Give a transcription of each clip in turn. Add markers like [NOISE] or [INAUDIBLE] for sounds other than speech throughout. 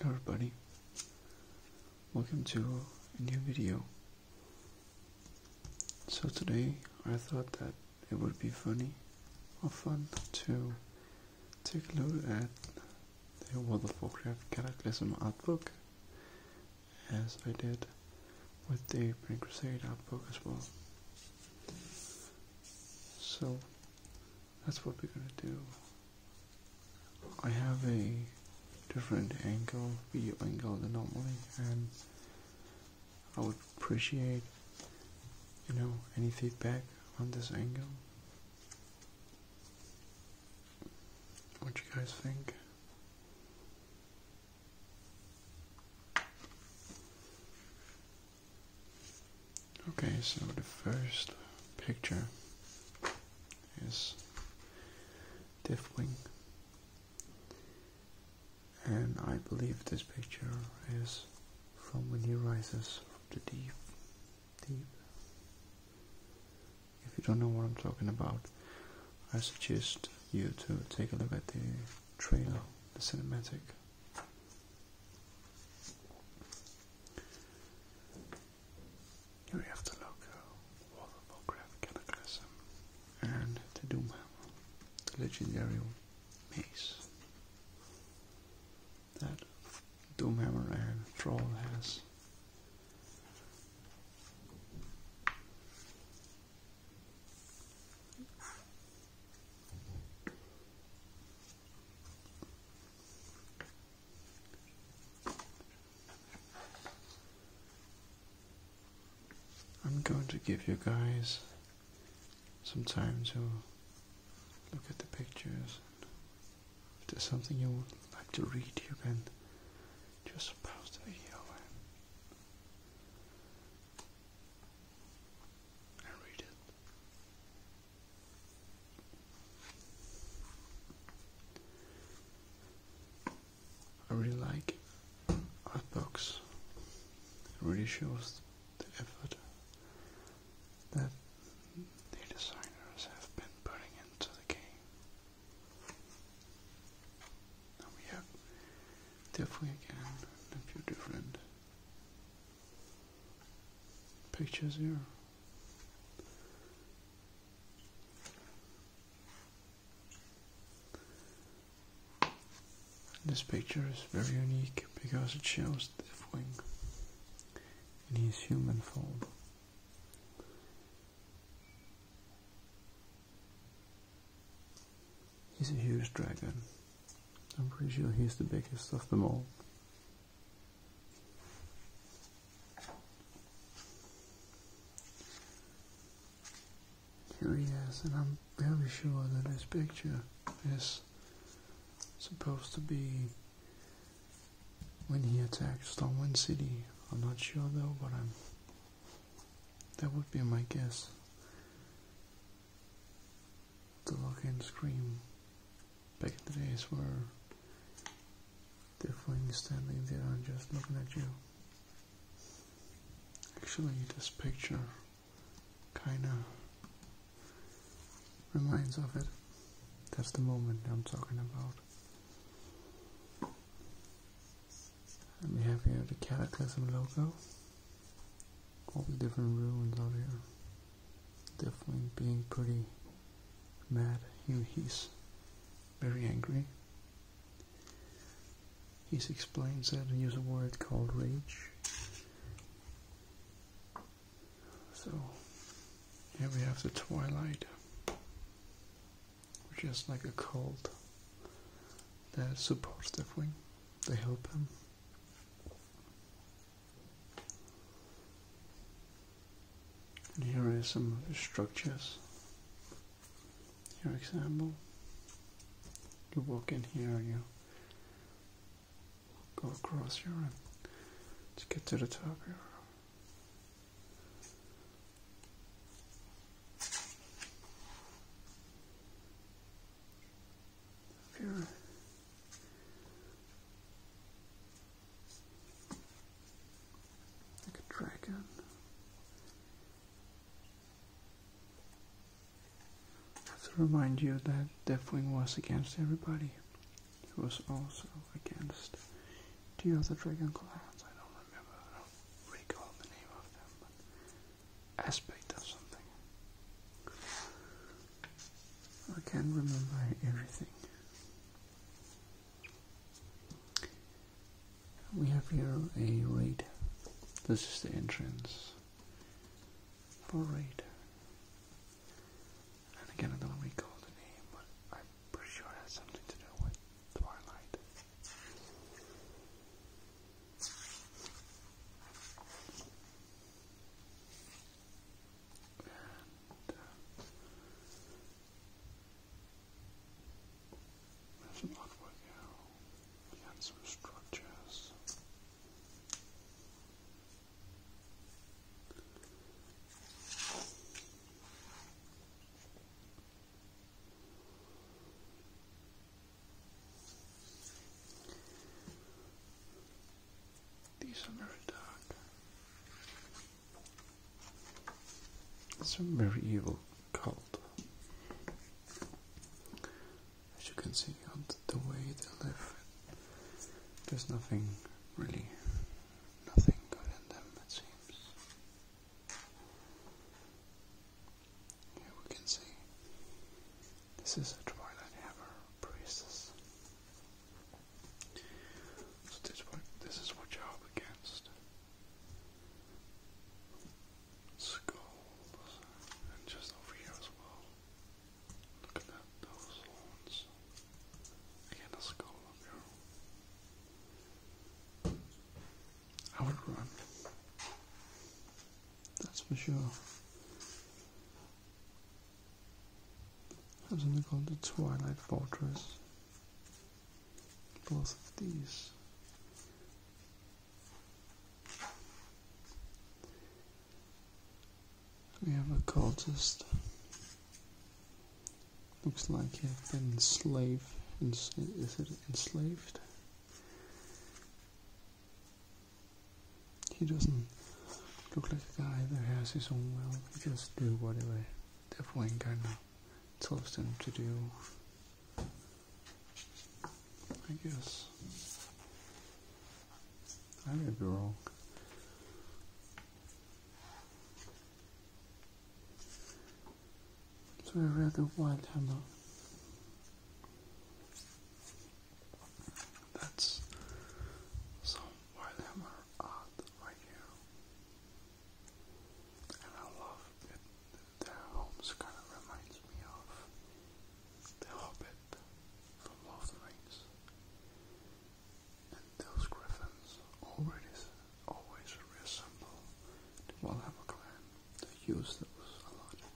Hello everybody, welcome to a new video. So today I thought that it would be funny or fun to take a look at the World of Warcraft Cataclysm artbook as I did with the Green Crusade artbook as well. So that's what we're gonna do. I have a different angle, view angle than normally, and I would appreciate, you know, any feedback on this angle. What you guys think? Okay, so the first picture is Diffwing, and I believe this picture is from when he rises from the deep, deep. If you don't know what I'm talking about, I suggest you to take a look at the trailer, the cinematic. Here we have uh, the logo, wall of and the Doom the legendary mace that Doomhammer and Troll has. I'm going to give you guys some time to look at the pictures. If there's something you would like to read, you can just pause the video and, read it. I really like Artbox. It really shows the effort that the designers have been putting into the game. Now we have definitely again a few different pictures here. This picture is very unique because it shows the wing in his human form. He's a huge dragon. I'm pretty sure he's the biggest of them all. Here he is, and I'm very sure that this picture is supposed to be when he attacked Stormwind City. I'm not sure though, but I'm. That would be my guess the login screen back in the days where the thing standing there and just looking at you. Actually, this picture kinda reminds of it. That's the moment I'm talking about. And we have here the Cataclysm logo all the different ruins out here. Definitely being pretty mad. He, he's very angry. He explains that he uses a word called rage. So here we have the twilight, just like a cult that supports Deathwing. They help him. And here are some of the structures. Here example. You walk in here you go across here and to get to the top here. Here like a dragon. I have to remind you that Deathwing was against everybody. He was also against the other dragon clans. I don't remember, I don't recall the name of them, but Aspect or something. I can remember everything. We have here a raid. This is the entrance for raid. And again, I don't recall the name, but I'm pretty sure it has something to do with Twilight. And, uh, there's We had some structures. These are very dark. It's a very evil cult. As you can see on the way they live, there's nothing really, nothing good in them, it seems. Here we can see this is a Twilight Hammer Priestess. So this, is what you're up against. Skulls, and just over here as well. Look at those horns. Again, a skull up here. I would run. That's for sure. Have something called the Twilight Fortress. Both of these. We have a cultist. Looks like he's been enslaved. is it enslaved? He doesn't look like a guy that has his own will. He just do whatever Devlin kind of tells him to do. I guess. I may be wrong. So I read the Wild Hammer. That's some white hammer art right here. And I love it. Their homes kind of reminds me of the Hobbit from Lord of the Rings. And those griffins always, always the Warhammer clan. They use those a lot.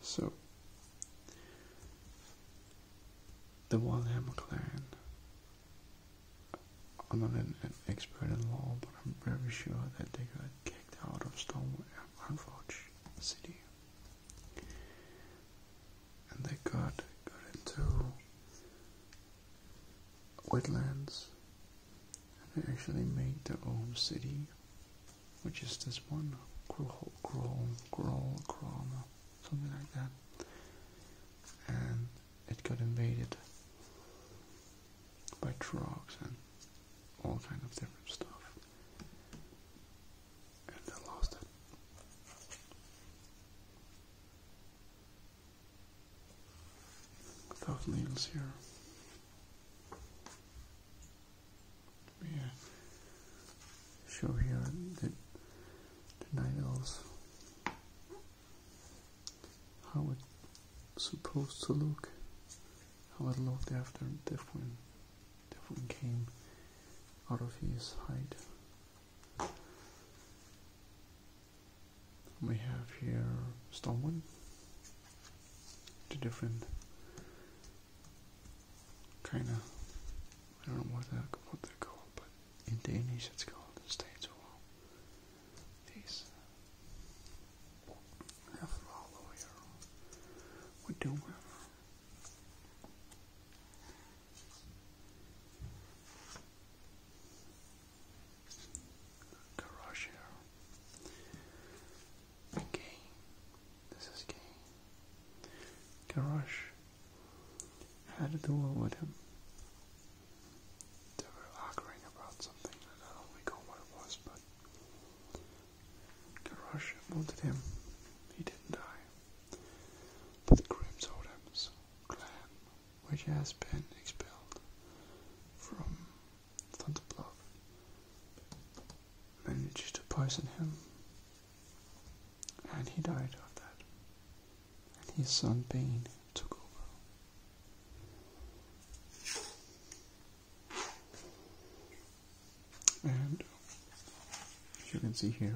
So, the Walham clan I'm not an, expert in law, but I'm very sure that they got kicked out of Storm Unforge City. And they got, got into wetlands. And they actually made their own city, which is this one, Grohl, Grohl, Grohl, Grohl, something like that. And it got invaded by trucks and all kind of different stuff. And I lost it. Tough needles here. Yeah. Show here the, the how it's supposed to look, how it looked after different different came out of his hide. We have here Stormwind, two different kind of I don't know what that what they call, called, but in Danish it's called the States Wall. These have follow here. We do have. Garage here. Okay, this is gay. Garage had a duel with him. They were arguing about something, I don't recall what it was, but the wounded him. He didn't die. But the clan, which has been expelled from Thunderbluff, managed to poison him, and he died of that and his son Bane took over. And as you can see here,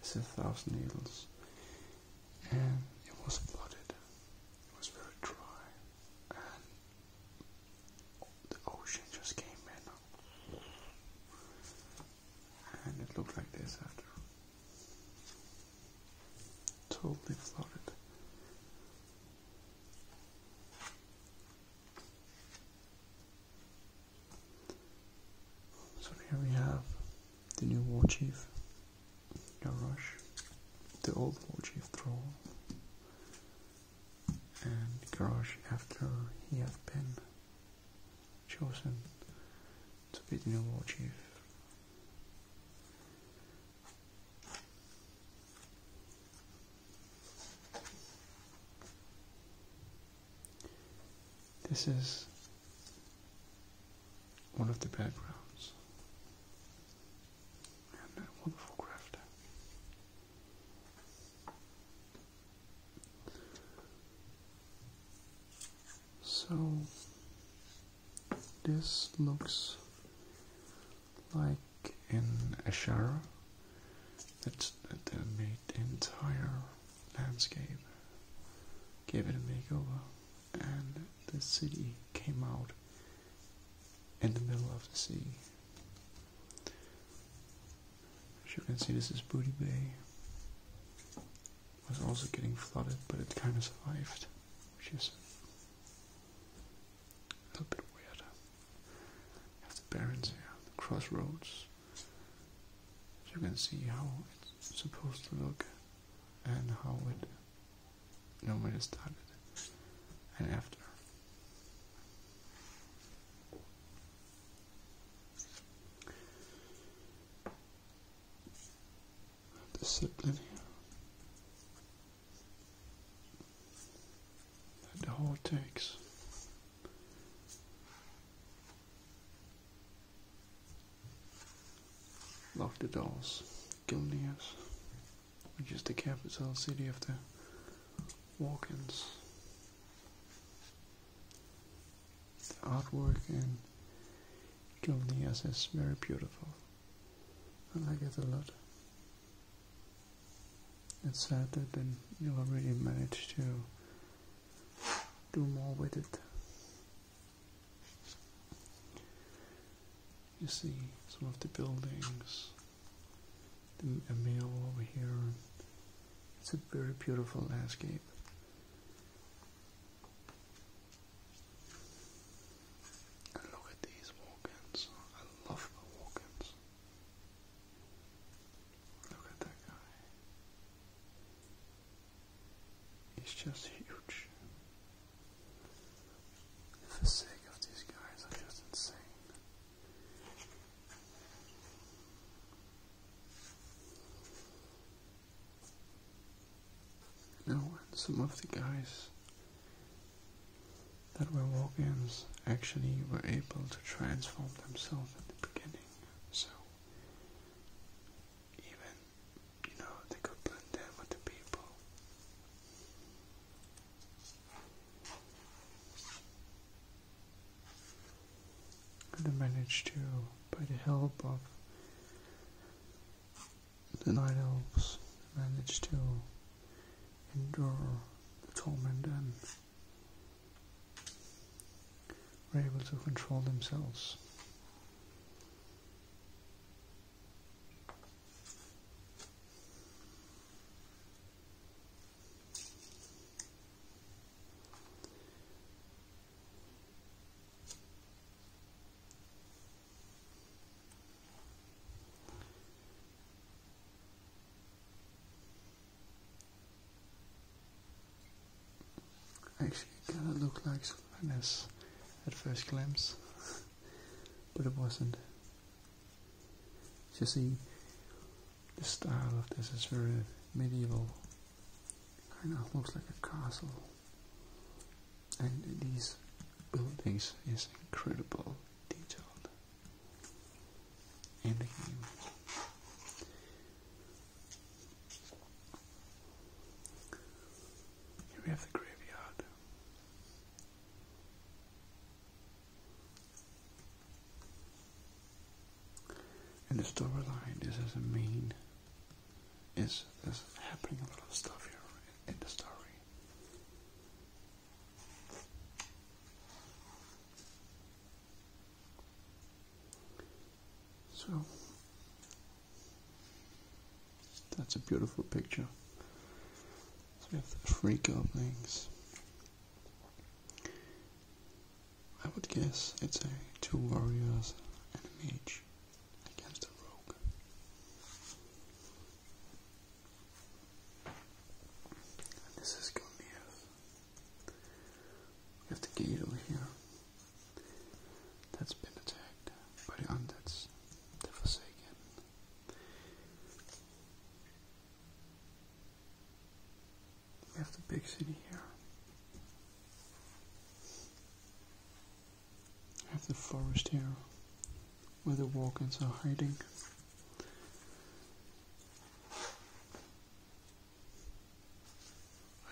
it's a thousand needles, and it was flooded. It was very dry, and the ocean just came in. And it looked like this after. Totally flooded. So here we have the new war chief, Yarush, the old war chief Thrall, and Garrosh after he had been chosen to be the new war chief. This is one of the backgrounds and that wonderful crafter. So this looks like an ashara that, that made the entire landscape, gave it a makeover, and the city came out in the middle of the sea. As you can see, this is Booty Bay was also getting flooded, but it kind of survived, which is a little bit weird. have the barrens here, the crossroads. you can see how it's supposed to look and how it normally started and after discipline here. Let the whole takes. Lock the doors, Gilneas, which is the capital city of the Walkins the artwork and Gilneas is very beautiful. I like it a lot. It's sad that they never really managed to do more with it. You see some of the buildings, a mill over here. It's a very beautiful landscape look at these walk I love the Look at that guy. He's just huge. The sake of these guys are just insane. You some of the guys that were walk-ins actually were able to transform themselves at the beginning, so even, you know, they could blend in with the people. And they managed to by the help of the night elves managed to endure the torment and were able to control themselves. Actually, it kind of looked like something else at first glance, [LAUGHS] but it wasn't. You see, the style of this is very medieval. Kind of looks like a castle and these buildings is incredible detailed And the Here we have the graveyard. And the storyline, this is a main is there's happening a lot of stuff here in, the story. So that's a beautiful picture. So we have the three goblins. I would guess it's a two warriors and a mage against a rogue. And this is Gilneas. We have the gate over here. That's been attacked by the undeads, the Forsaken. We have the big city here. I have the forest here where the Walkins are hiding.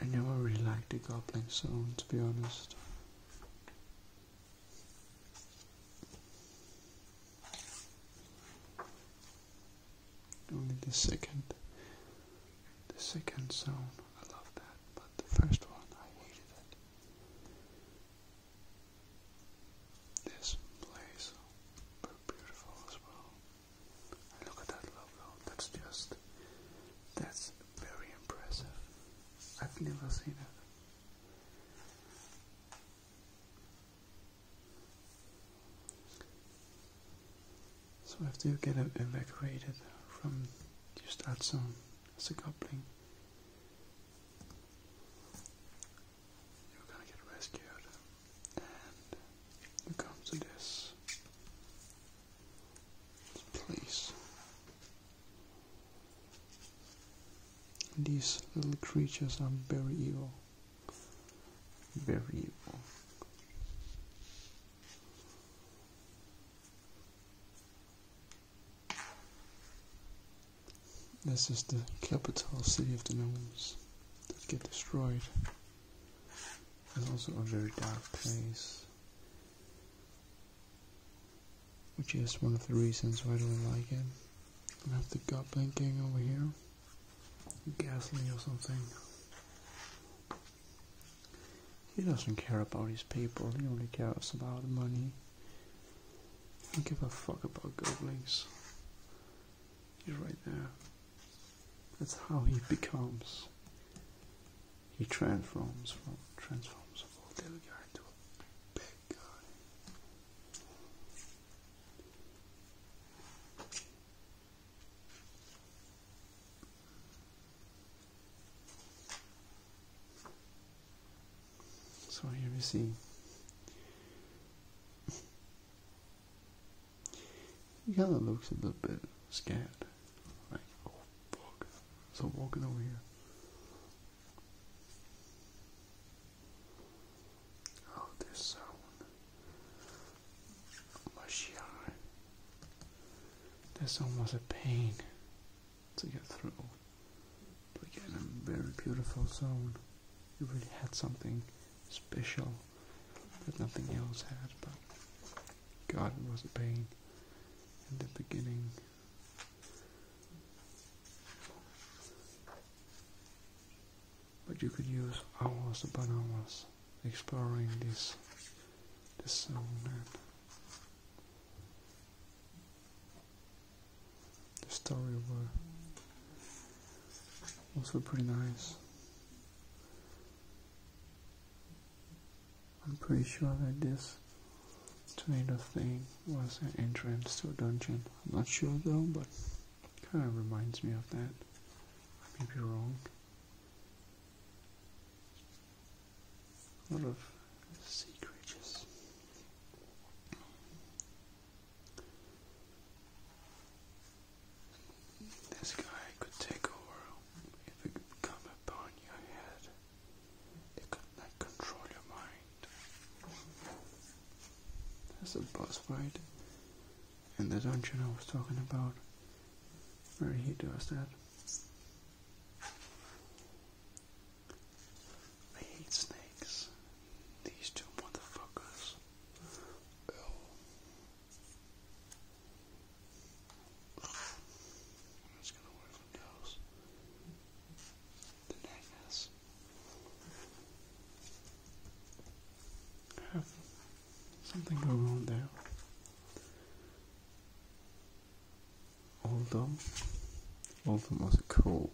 I never really liked the Goblin Zone to be honest. Only the second the second zone. I love that but the first one I hated it. This place beautiful as well. look at that logo. That's just that's very impressive. I've never seen it. So after you get evacuated from the start zone as a coupling, you're gonna get rescued and you come to this place. These little creatures are very evil. Very evil. This is the capital city of the Nomes. that get destroyed. It's also a very dark place. Which is one of the reasons why I don't like it. I have the goblin gang over here. Ghastly or something. He doesn't care about his people, he only cares about money. don't give a fuck about goblins. He's right there. That's how he becomes. He transforms from transforms from little guy into a big guy. So here we see he kind of looks a little bit scared. Like, oh fuck. So walking over here. Oh, this sound. Mashiach. That's almost a pain to get through. But again, a very beautiful zone. You really had something special that nothing else had, but God it was a pain in the beginning. But you could use hours upon hours exploring this this zone the story were also pretty nice. I'm pretty sure that this tornado thing was an entrance to a dungeon. I'm not sure though, but kind of reminds me of that. I may be wrong a lot of sea creatures. This guy could take over if it could come upon your head. It could not control your mind. There's a boss fight in the dungeon I was talking about where he does that. I hate snakes. These two motherfuckers. Ew. I'm just gonna work from those. The necklace. Something go wrong there. Oldham. Oldham was cold,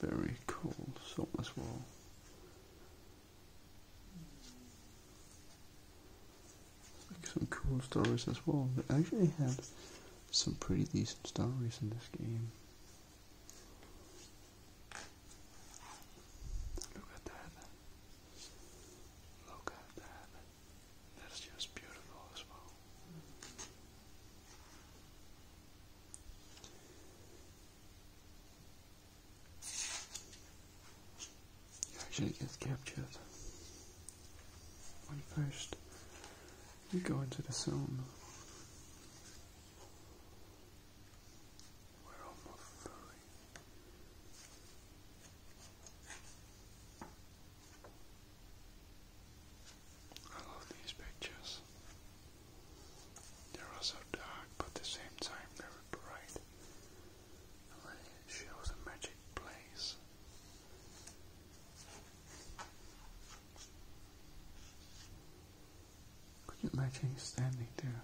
very cold song as well. Like some cool stories as well. They actually had some pretty decent stories in this game. Look at that. Look at that. That's just beautiful as well. You actually get captured when first you go into the zone. I love these pictures. They're also dark, but at the same time very bright. it shows a magic place. Could you imagine standing there?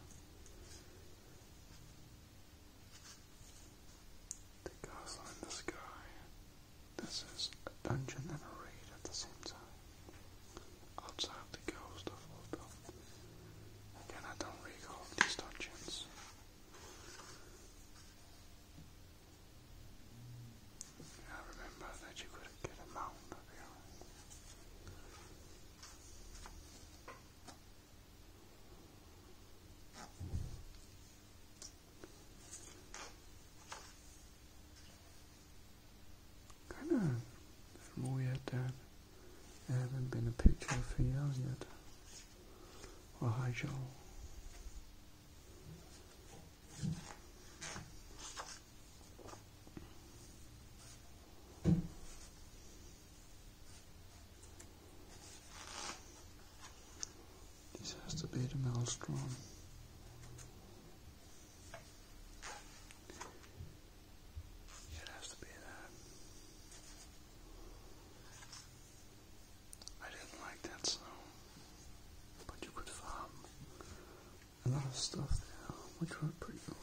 The castle in the sky. This is a dungeon and a raid at the same time. Outside the ghost of Oldham. Again, I don't recall these dungeons. I remember that you could get a mount up here. Kind of from all that there not been a picture for years yet. Well, hi, Joel. This has to be the maelstrom. it has to be that. I didn't like that sound, but you could farm a lot of stuff there, which was pretty cool.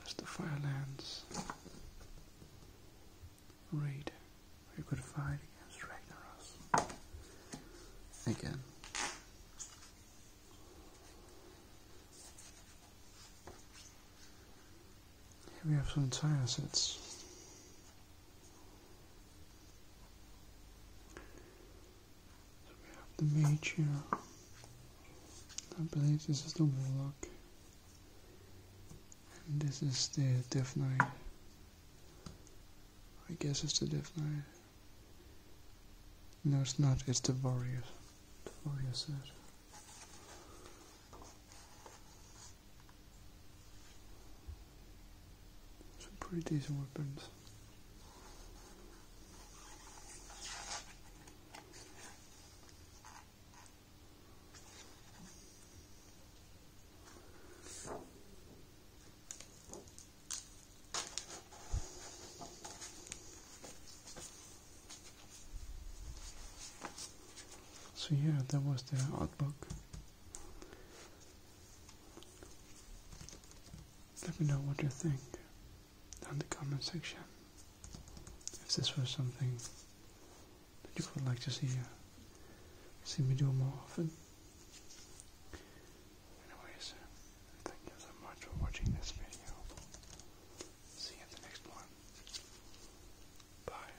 That's the Firelands raid. We could fight against Ragnaros again. Here we have some tire sets. we have the mage I believe this is the warlock. And this is the Death I guess it's the Death No, it's not. It's the warrior. The warrior set. Some pretty decent weapons. So yeah, that was the art book. Let me know what you think down the comment section. If this was something that you would like to see, uh, see me do more often. Anyways, thank you so much for watching this video. See you in the next one. Bye.